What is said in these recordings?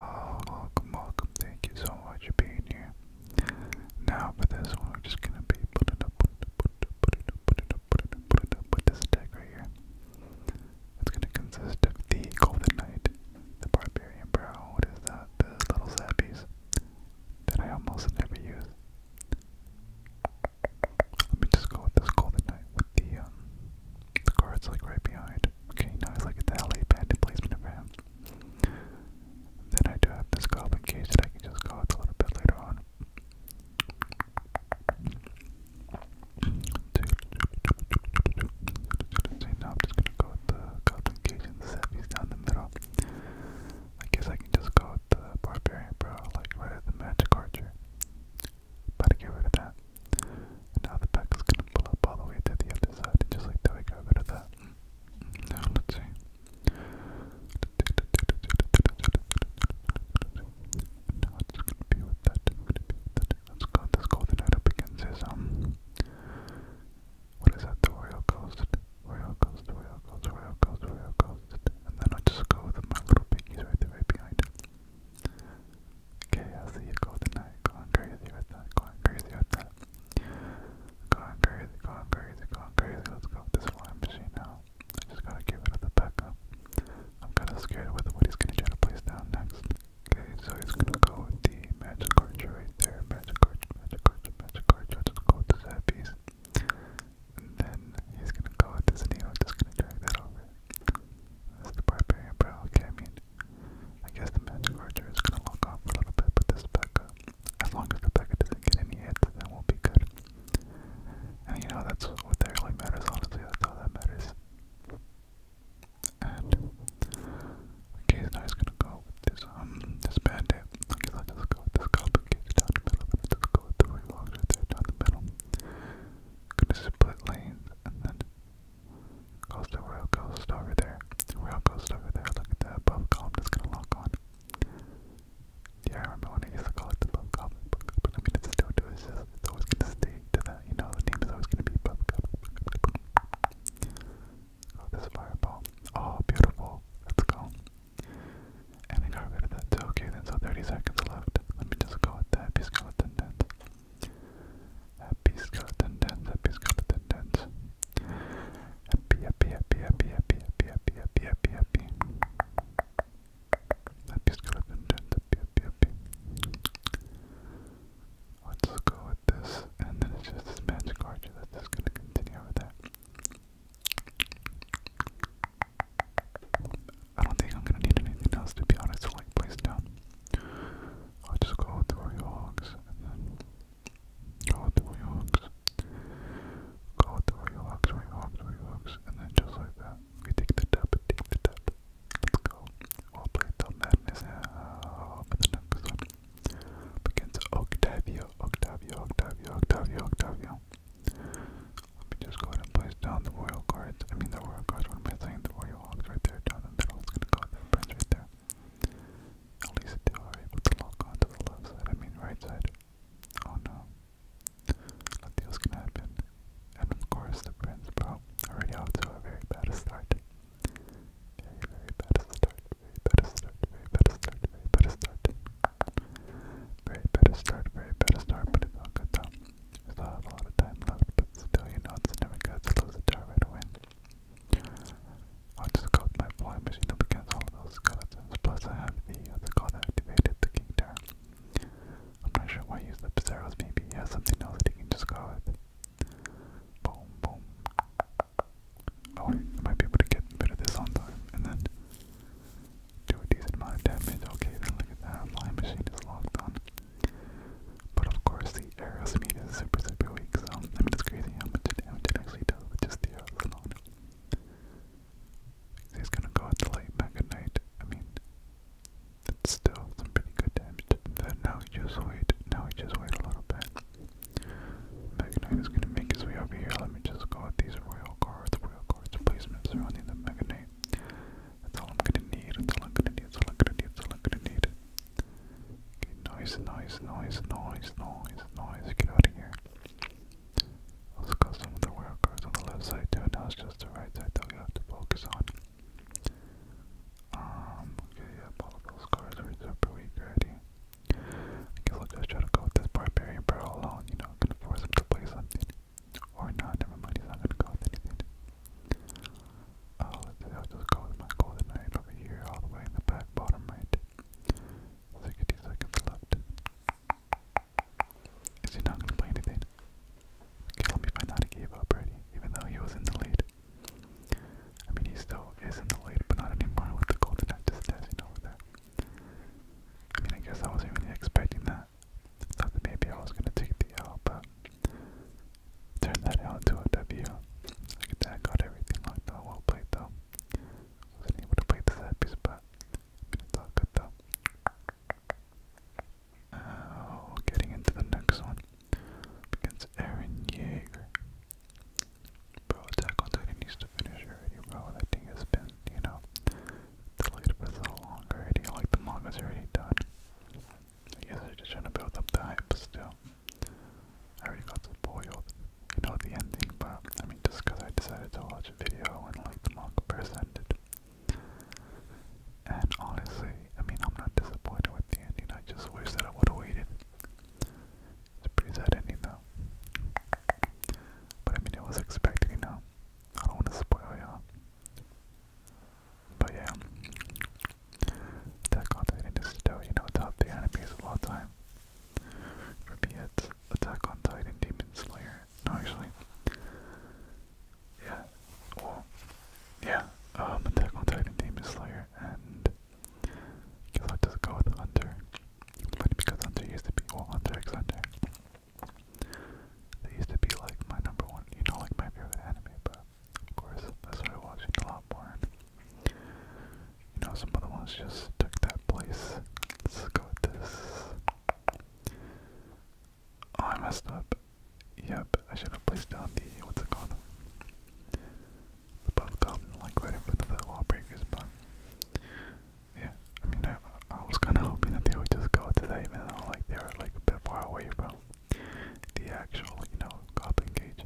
Oh, welcome, welcome. Thank you so much for being here. Now for this one, we're just gonna be put it up, put up, put up, put up, put up, put up, put up with this deck right here. It's gonna consist of the Golden Knight, the Barbarian Brow, what is that? The little zappies that I almost never use. Let me just go with this Golden Knight with the um, the cards like right behind. Okay, now I look at the LA Bandit placement of Then I do have this goblin cage that I can just go with a little bit later on. So now I'm just gonna go with the goblin cage and the sevies down the middle. I guess I can just go with the barbarian bro, like right at the magic archer. About get rid of that. Now the pack is gonna pull up all the way to the other side, just like that. We got that. Now let's see. Now it's gonna be with that. Let's go. This golden knight up against his um. What is that? The royal ghost. Royal ghost. Royal ghost. Royal ghost. Royal ghost. And then I'll just go with my little piggies right there, right behind. Okay, I see you go tonight, going crazy with that, going crazy with that. Going crazy, going crazy, going crazy. Let's go with this flying machine now. I just gotta give it to the backup. I'm kinda scared with what he's gonna try to place down next. Okay, so he's gonna go with the magic arch right there. Magic arch, magic arch, magic arch. I'll just go with the side piece. And then he's gonna go with this and he's just gonna drag that over. That's the barbarian bro. Okay, I mean, I guess the Magic Archer is going to lock off for a little bit, but this Becca, as long as Rebecca doesn't get any hits, then we'll be good. And you know, that's what that really matters, honestly. That's all that matters. And okay, so now he's gonna go with this um this bandit. Okay, let's just go with this complicated down the middle, let's just go with the rock right there down the middle. Gonna split lanes and then Coast, Royal Coast over there. Royal over there. Look at that above column that's gonna lock on. Yeah, I remember when I used to call it the above column, I mean it's still do it's it's always gonna stay to that, you know, the name is always gonna be above column. Oh, this fireball. Oh, beautiful. Let's go. And I got that too. Okay, then so 30 seconds left. Let me just go with that. Peace, skeleton dance. Happy skeleton dance, happy skeleton dance. Happy, happy, happy, happy, happy, happy, happy, happy, happy. Happy skeleton dance, happy, happy, happy. Let's go with this, and then it's just this magic archer that's just gonna continue over there. I don't think I'm gonna need anything else to be honest like place down. I'll just go through your hogs go through your hogs. Go through your hogs, through your hogs, through your hogs, and then just like that. We take the dub, take the dub. Let's go. We'll play till madness uh, the next one. Begins Octavio, Octavio, Octavio, Octavio, Let me just go and place down the royal cards. I mean the royal cards, what am I The royal Leo Hawks right there. Jonathan Middle's gonna go with right there. At least they are able to lock on the left side, I mean right side. Oh no. Nothing else can happen. And of course the Prince bro already out to a very bad start. Very, bad start. Very bad start. Very bad start. Very bad start. Very bad start. Very bad start. But it's all good Still have a lot of time left, but still, you know, it's never good to lose a jar right i just go my flying machine up against all those skeletons, plus I have the other uh, god activated, the king jar. I'm not sure why I use the Pizarros, maybe he has something else that he can just go with. Boom, boom. Oh I might be able to get rid of this on time, and then do a decent amount of damage. Okay, then look at that, flying machine is locked on. But of course, the arrows is super, super weak, so I mean, it's crazy how much it, how actually does with just the arrows He's gonna go out the light back at night. I mean, it's still some pretty good damage. Then now we just wait. Now we just wait a little bit. Magnite is gonna make his way over here. Let me just go with these royal guards, royal guards placements surrounding the Magnite. That's all I'm gonna need, that's all I'm gonna need, that's all I'm gonna need, that's all I'm gonna need. Okay, noise, noise, noise, noise, noise, noise, get out of here. Also got some of the workers on the left side too, now it's just the right side that we have to focus on. Um, okay, yeah, all of those cars are super weak already. I guess I'll just try to go with this barbarian barrel alone, you know, I'm gonna force him to play something. Or not, never mind, he's not gonna go with anything. Uh, let's see, just go with my golden knight over here, all the way in the back bottom right. 60 seconds left. Is he not gonna play anything? Kill me if I not gave up already, even though he was in the lead. I mean, he still is in the lead, but not anymore with the golden knight just dashing over there. I mean, I guess I wasn't even expecting that. Thought that maybe I was gonna take the L, but turned that into a W. Look that, got everything locked out. Well played though. Wasn't able to play the set piece, but it's all good though. Oh, getting into the next one against Aaron Yeager. Bro, attack on Titan needs to finish already, bro. That thing has been, you know, the light was a little longer already, like the manga's already done. I guess they're just trying to build up the hype still. I already got spoiled, you know, the ending, but I mean, just because I decided to watch a video and like the manga presented. And honestly, I mean, I'm not disappointed with the ending, I just wish that I would have waited. It's a pretty sad ending though. But I mean, it was expected, you know. I don't want to spoil you but yeah, Attack on Titan is still, you know, top the animes of all time. For me, it's Attack on Titan, Demon Slayer. No, actually, yeah, well, yeah, um, Attack on Titan, Demon Slayer, and I i just go with Hunter. But because Hunter used to be, well, Hunter x Hunter. They used to be like my number one, you know, like my favorite anime, but of course I started watching a lot more. you know, some other ones just took that place. Let's go with this. Oh, I messed up. Yep, I should have placed down the, what's it called? The buff like right in front of the lawbreakers, but yeah, I mean, I, was kind of hoping that they would just go to that, even like they were like a bit far away from the actual, you know, goblin cage.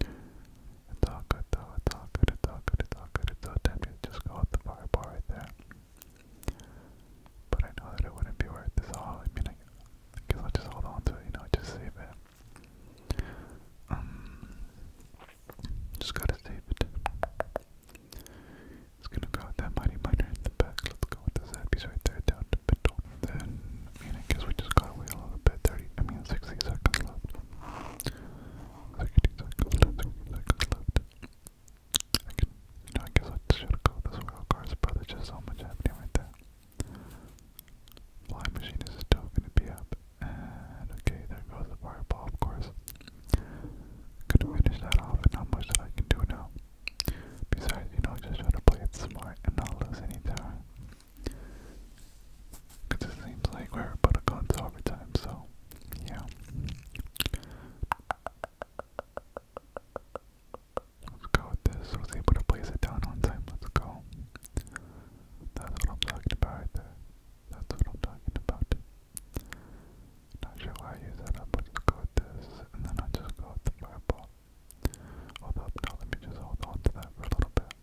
It's all good though. It's all good. It's all good. It's all good. It's all tempting to just go out the fireball right there. But I know that it wouldn't be worth this all. I mean, I, I just hold on to You know, just save it. Um, just gotta save it. It's gonna go that mighty miner in the back. Let's go with the zappies right there down to Beton. Then I mean I guess we just gotta wait a little bit, I mean sixty seconds left. Sixty seconds left, sixty seconds left. I can I guess I should go with this cars, but just so much happening right there. Flying machine is still gonna be up. And okay, there goes the fireball of course. Gonna finish that off but not much that I can do now. Besides, you know, just try to play it smart and not lose any time. Cause it seems like we're about to go into overtime, so yeah. Let's go with this. was able to place it down on time. Let's go. That's what I'm talking about That's what I'm talking about. Not sure why I use that up, but let's go with this, and then I just go with the fireball. Although, now let me just hold on to that for a little bit.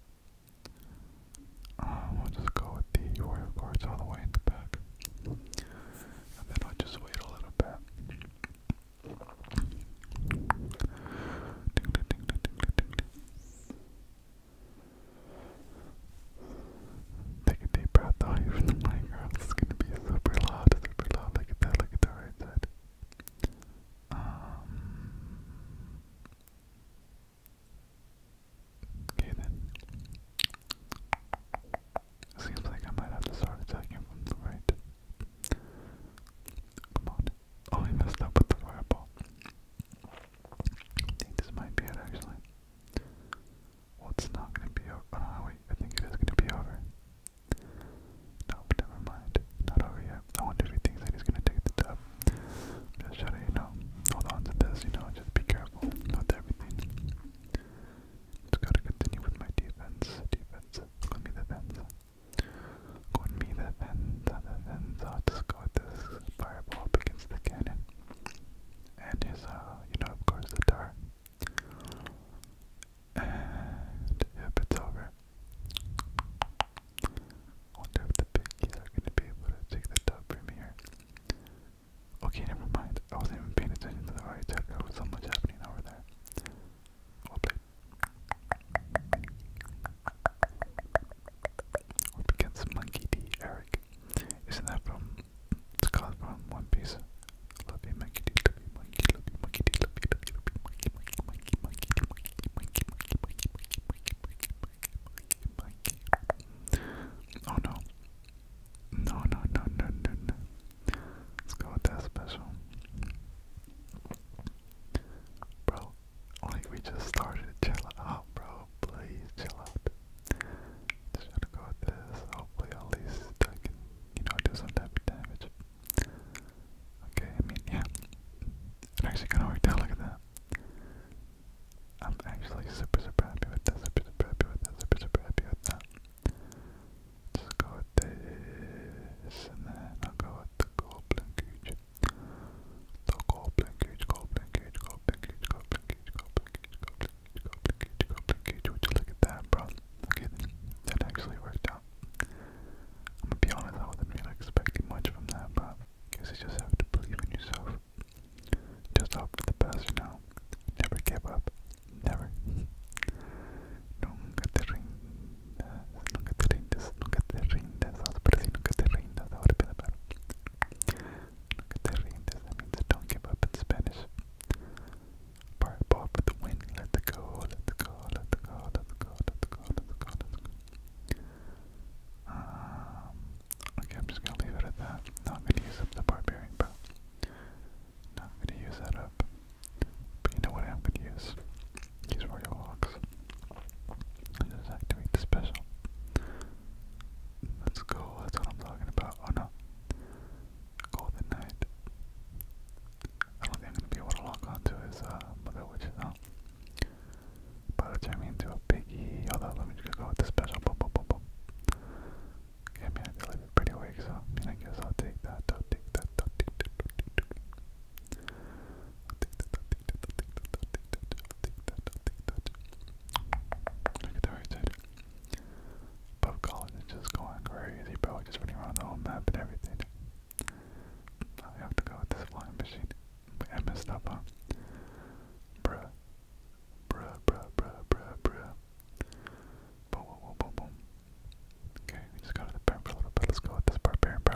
Um, will just go with the warrior cards all the way in the back. And then I'll just wait a little bit. Take a deep breath away from the microphone. It's gonna be super loud, super loud. Look at that, look at the right side. Um, okay then. Seems like I might have to start attacking from the right. Come on. Oh, I messed up with the fireball. I think this might be it actually it's not gonna be over. Oh, no, wait, I think it is gonna be over. Nope, never mind. Not over yet. I wonder if he thinks that he's gonna take the dub. Just try you know, hold on to this, you know, just be careful with everything. Just gotta continue with my defense. Defense. Go me the fence. Go me the fence. The fence. i just go this fireball against the cannon and his, uh, you know, of course, the tar. And yep, it's over. Wonder if the piggies are gonna be able to take the dub from here. Okay, never mind. I wasn't even paying attention to the right side. There was so much happening over there. Well what begins Monkey D. Eric? Isn't that from. It's called from One Piece. Love you, Monkey D. Love you, Monkey. Love you, Monkey D. Love you, love you, Monkey, Monkey, Monkey, Monkey, Monkey, Monkey, Monkey, Monkey, Monkey, Monkey, Monkey, Monkey, Monkey, Monkey. Oh no. No, no, no, no, no, no. Let's go with that special. Bro, like we just started. Chill out, bro. Please chill out. Just gotta go with this. Hopefully, at least I can, you know, do some type of damage. Okay, I mean, yeah. It actually kind of worked out. Look at that. I'm actually super, super happy with that. Super, super happy with that. Super, super happy with that. Just go with this, and then I'll go with the goblin cage. The goblin cage, goblin cage, goblin cage, goblin look at that, bro? Okay, that actually worked out. I'm gonna be honest, I wasn't really expecting much from that, but I guess you just have to believe in yourself. Just hope for the best, you know. Never give up. Never don't give up in Spanish. Bar ball for the win, let the go, let the go, let the go, let the go, let the go, let the go, let the go. Um, okay, I'm just gonna leave it at that. Not gonna use up the barbarian bow. Not gonna use that up. But you know what I'm gonna use? Use Royal Hawks. And just activate the special. That's cool, that's what I'm talking about. Oh no. Golden Knight. I don't think I'm gonna be able to lock onto his uh, mother which is out. But it's turning into a biggie. Although let me go with the special boom boom boom boom. Okay, pretty awake, so I guess I'll take that, I'll take that. Look at the right side. Pub College is just going crazy, bro. Just running around the whole map and everything. I have to go with this flying machine. I messed Bruh. Bruh, bruh, bruh, bruh, Boom, boom, boom, boom, boom. Okay, we just got to the parent for a little bit. Let's go with this barbarian, bro.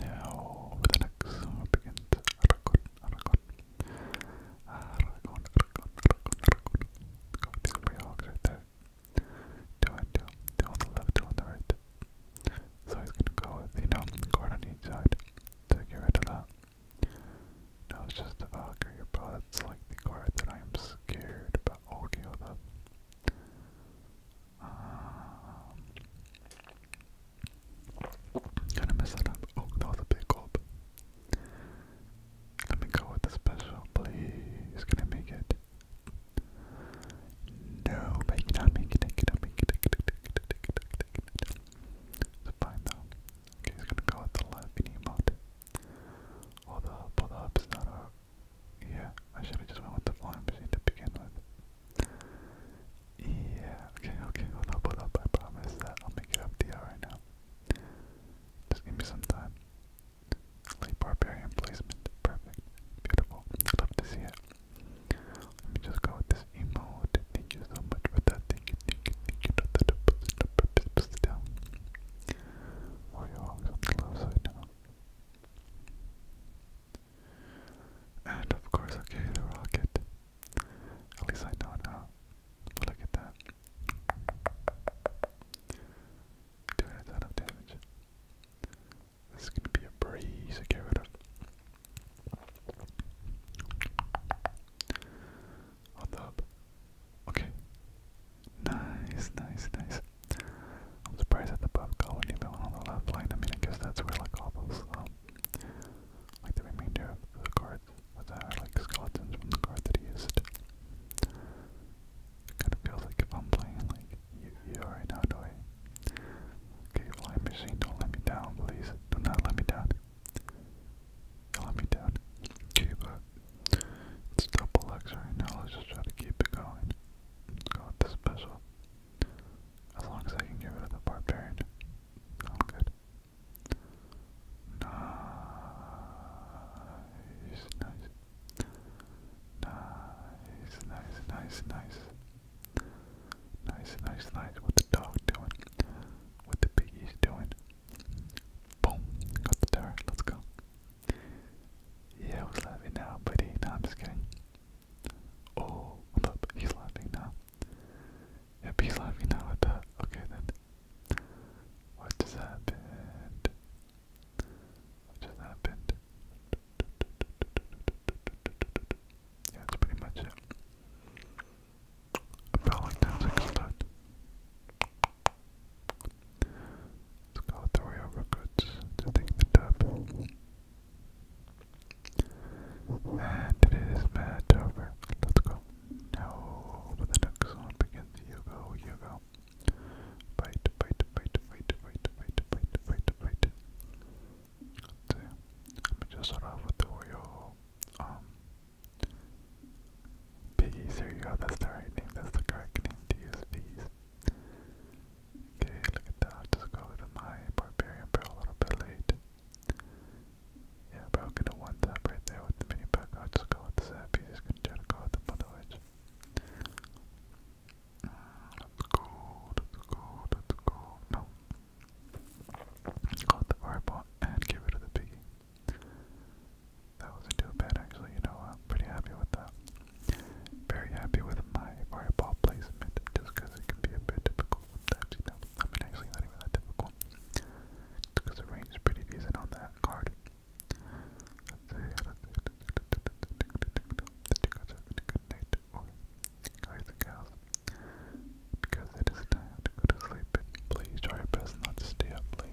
Now, with an X, begins Aragon, Aragon. Aragon, Aragon, Aragon, Aragon. Got these three hogs right there. Two on the left, two on the right. So he's gonna go with, you know, guard on each side to get rid of that. No, it's just the Valkyrie, bro. That's like the card that I am scared about. Okay, hold up. Um, gonna mess that up. Oh, that was a big gulp. Let me go with the special, please. Can I make it? No, but you make it. I cannot make it. I cannot make it. I cannot make it. It's fine though. he's gonna go with the left emote. Hold up, hold up. not a yeah, I should have just went with the flying machine to begin with. Yeah, okay, okay, hold up, hold up, I promise that I'll make it up to you right now. Just give me some time. Late barbarian placement, perfect, beautiful, love to see it. Let me just go with this emote, thank you so much for that, thank you, thank you, thank you, down. Warrior walks on the left side now. And of course, okay, the rocket. At least I know now. look at that. Doing a ton of damage. This is gonna be a breeze to get rid of. On the Okay. Nice, nice, nice. I'm surprised at the buff column even on the left line. I mean, I guess that's where like all those, um, like the remainder of the card that like skeletons from the card that he used. It kind of feels like if I'm playing like you right now, do I? Okay, flying machine, don't let me down, please. Do not let me down. Don't let me down. Okay, but it's double X right now. Let's just try to keep it going. Let's go with the special. As long as I can get rid of the barbarian. All good. Nice, nice. Nice, nice, nice, nice. Nice, What the dog doing? What the piggy's doing? Boom. Got the tower. Let's go. Yeah, I was laughing now, buddy. No, I'm just kidding. Oh, he's laughing now. Yeah, he's laughing now at that. Okay then. What just happened? What just happened? Yeah, that's pretty much it. I felt like that was a good Let's call it the Royal to take the dub. And today's match over. Let's go. Now for the next one begins. You go, you go. Fight, fight, fight, fight, fight, fight, fight, fight, fight. let me just start off with the Royal um Piggy, there you go, the right name, that's the correct name to use, Piggies. Okay, look at that. Just go to my barbarian barrel a little bit late. Yeah, bro, i one tap right there with the mini pack. I'll just go with the zap. He's just gonna try to go with the bundle edge. let's go, let's go, let's go. No. Go with the fireball and get rid of the piggy. That wasn't too bad actually, you know, I'm pretty happy with that. Very happy with my fireball placement, just because it can be a bit difficult sometimes, you know. I mean, actually not even that difficult, because the range is pretty decent on that card. Let's guys and gals, because it is time to go to sleep, please try your best not to stay up late.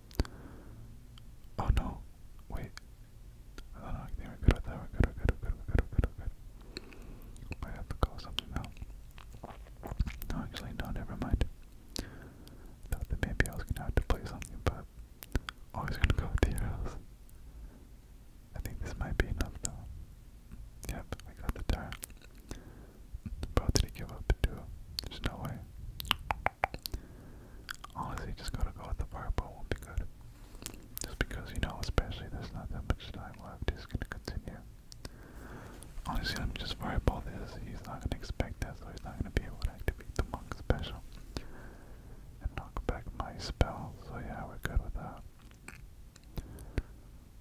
Oh no, wait. I don't know, I think we're good with that, we're good, we're good, we're good, we're good, we're good, we're good. I have to call something now. No, actually, no, never mind. thought that maybe I was gonna have to play something, but I gonna go with the arrows. I think this might be enough though. Yep, I got the tire. But did he give up too? There's no way. Honestly, just gotta go with the fireball will be good. Just because, you know, especially there's not that much time left, he's gonna continue. Honestly, I'm just fireball this. He's not gonna expect that, so he's not gonna be able to activate the monk special. And knock back my spell, so yeah, we're good with that.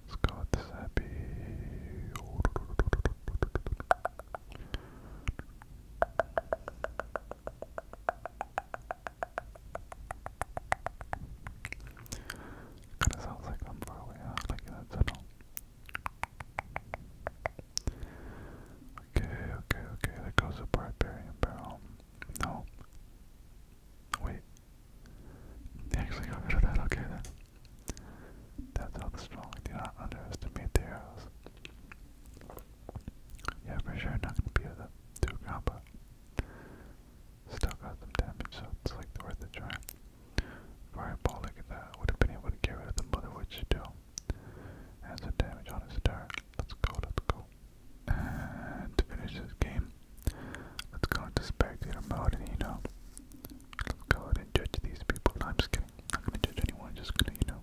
Let's go with this happy. Kinda sounds like I'm far away like in a tunnel. Okay, okay, okay, there goes a barbarian barrel. No. Wait. actually got rid that, okay then. That's how the strong do not underestimate the arrows. Yeah, for sure, not gonna be able to do a combo. Still got some damage, so it's like worth a try. Fireball, look at that. Would have been able to get rid of the mother What'd witch do? And some damage on his turn. Let's go, let's go. And to finish this game, let's go into spectator mode and you know, let's go ahead and judge these people. I'm just kidding. Not gonna judge anyone. Just gonna, you know,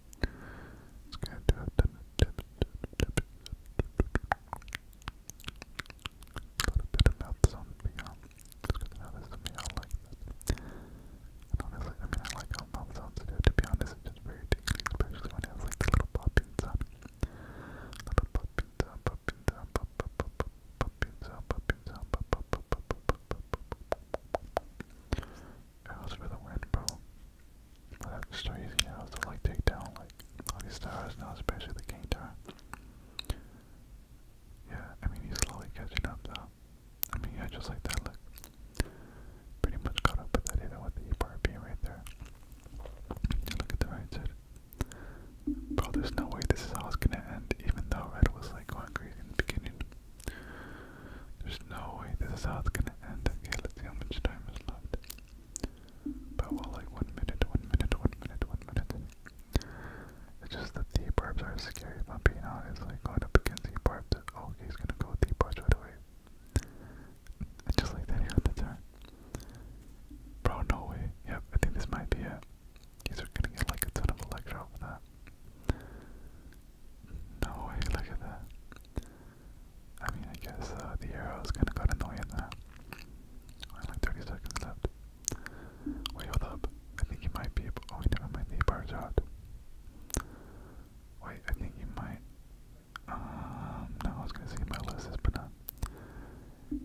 It's gonna do it. A little bit of mouth sound meow. It's good to know this is like that. And honestly, I mean, I like how mouth sounds do. To be honest, it's just very tingly, especially when it like the little popping sound. Little popping sound, popping sound, pop, pop, pop, pop, popping sound, popping pop, pop, pop, pop, pop, pop, pop. Arrows for the wind, bro. that's just so easy like take down like all these stars now, especially the King Tower. Yeah, I mean he's slowly catching up though. I mean yeah, just like that look. Pretty much caught up with that even with the E right there. look at the right side. Bro, there's no way this is how it's gonna end, even though Red was like going crazy in the beginning. There's no way this is how it's gonna end. let's see how much time is left. But well, like one minute, one minute, one minute, one minute. It's just that the barbs are scary, if I'm being honest. Like going up against the barbs, okay, he's gonna go with the barbs right away. And just like that here at the turn. Bro, no way. Yep, I think this might be it. He's gonna get like a ton of electro for that. No way, look at that. I mean, I guess uh, the arrow's kind of got annoying now. Only like 30 seconds left. Wait, hold up. I think he might be able. Oh, wait, never mind. The bar's out. Wait, I think he might. Um, no, I was gonna say he might lose this, but not.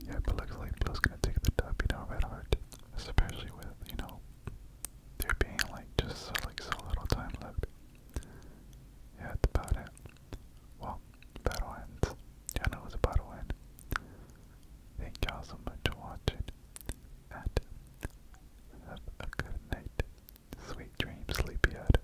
Yeah, but looks like Blue's gonna take the top, you know, red heart. Especially with, you know, there being like just so, like so little time left. Yeah, that's about it. Well, battle ends. Yeah, no, it was a battle end. Thank y'all so much for watching. And have a good night. Sweet dreams, sleepyhead.